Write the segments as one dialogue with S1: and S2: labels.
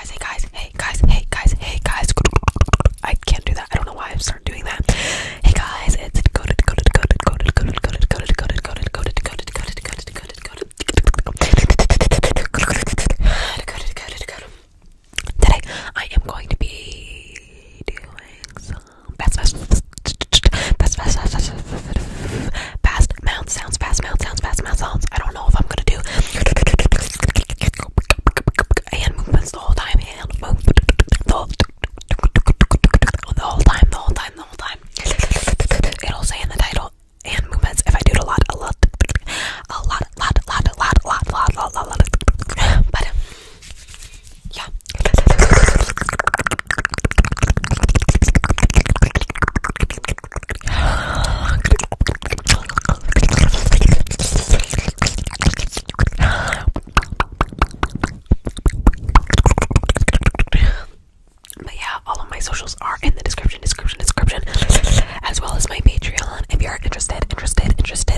S1: guys, hey guys, hey guys, hey guys, hey guys. I can't do that. I don't know why i started doing that. Hey guys, it's coated, coated, coated, coated, coated, coated, coated, coated, coated, coated, coated, coated, coated, coated, coated. Today I am going to be doing some best best best best best best best Fast mouth sounds, fast mouth sounds, fast mouth sounds. I don't know if I'm gonna do hand movements the whole time, hand movements the whole, time, the whole time, the whole time. It'll say in the title hand movements if I do it a lot, a lot, a lot, lot, lot, lot, lot, lot, lot. But um, yeah. But yeah, all of my socials are in the description, description, description, as well as my Patreon. If you're interested, interested, interested.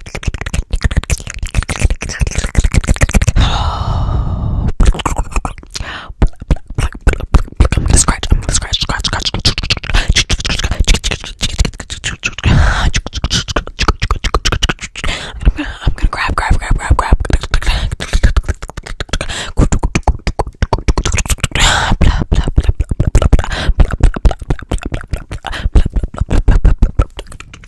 S1: I'm gonna scratch, I'm gonna scratch, scratch, scratch. I'm gonna, I'm gonna grab, grab, grab, grab, grab.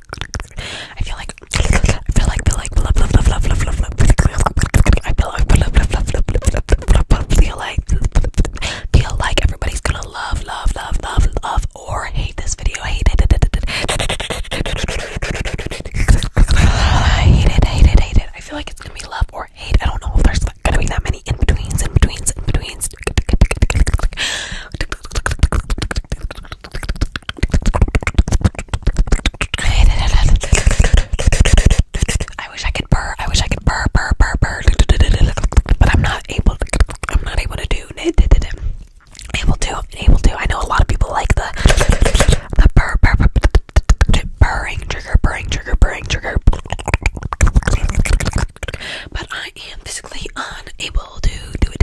S1: I feel like I feel like feel like love love love love love love love feel like feel like feel like everybody's gonna love love love love love or hate this video hate it hate it hate it hate it I feel like it's gonna be love or hate I don't know if there's gonna be that many in betweens in betweens in betweens I wish I could purr. I wish I could purr, purr, purr, purr. But I'm not able. To, I'm not able to do. Able to. Able to. I know a lot of people like the the purr, purr, purr, purring trigger, purring trigger, purring trigger. But I am physically unable to do it.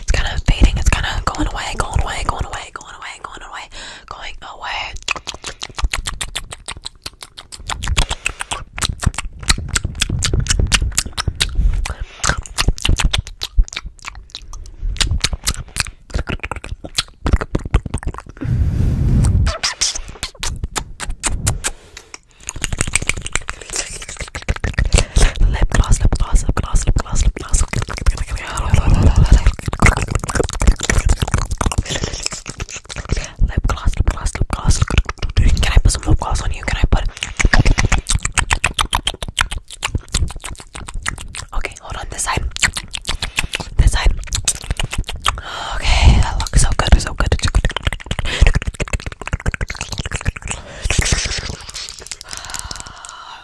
S1: it's kind of fading. It's kind of going away, going away, going away, going away, going away, going away. Lip gloss, lip gloss, lip gloss, lip gloss, lip langsung lip gloss lip gloss lip gloss can I put some lip gloss on you can I put okay hold on this side this side okay that looks so good so good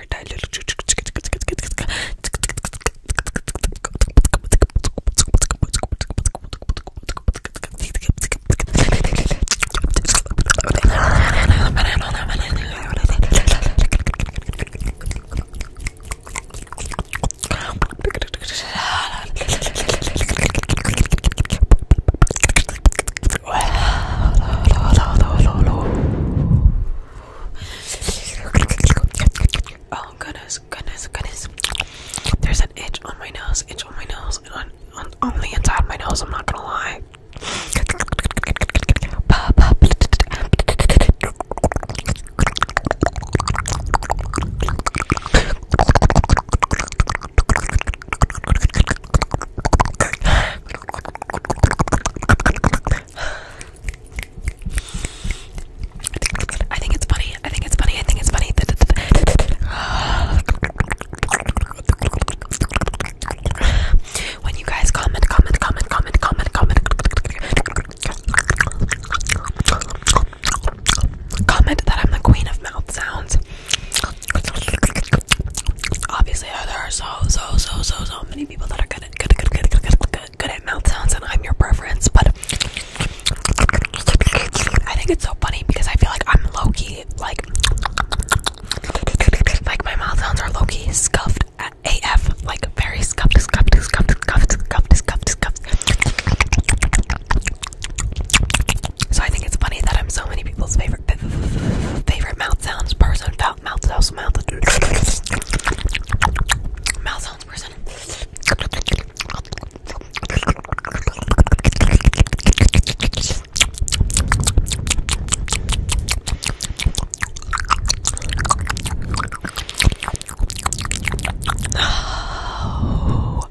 S1: entire diluted Oh goodness, goodness, goodness. There's an itch on my nose, itch on my nose, on, on the inside of my nose, I'm not gonna lie. I think it's funny. I think it's funny. I think it's funny. When you guys comment, comment, comment, comment, comment, comment, comment that I'm the queen of mouth sounds. Obviously, there are so, so, so, so, so many many people that are good at, good, good, good, good, good, good, good at mouth sounds, and I'm your preference, but I think it's so funny because I feel like I'm low key, like, like my mouth sounds are low key scuffed at AF, like very scuffed, scuffed, scuffed, scuffed, scuffed, scuffed, scuffed. So I think it's funny that I'm so many people's favorite favorite mouth sounds person mouth, mouth sounds, mouth, mouth sounds person. Oh.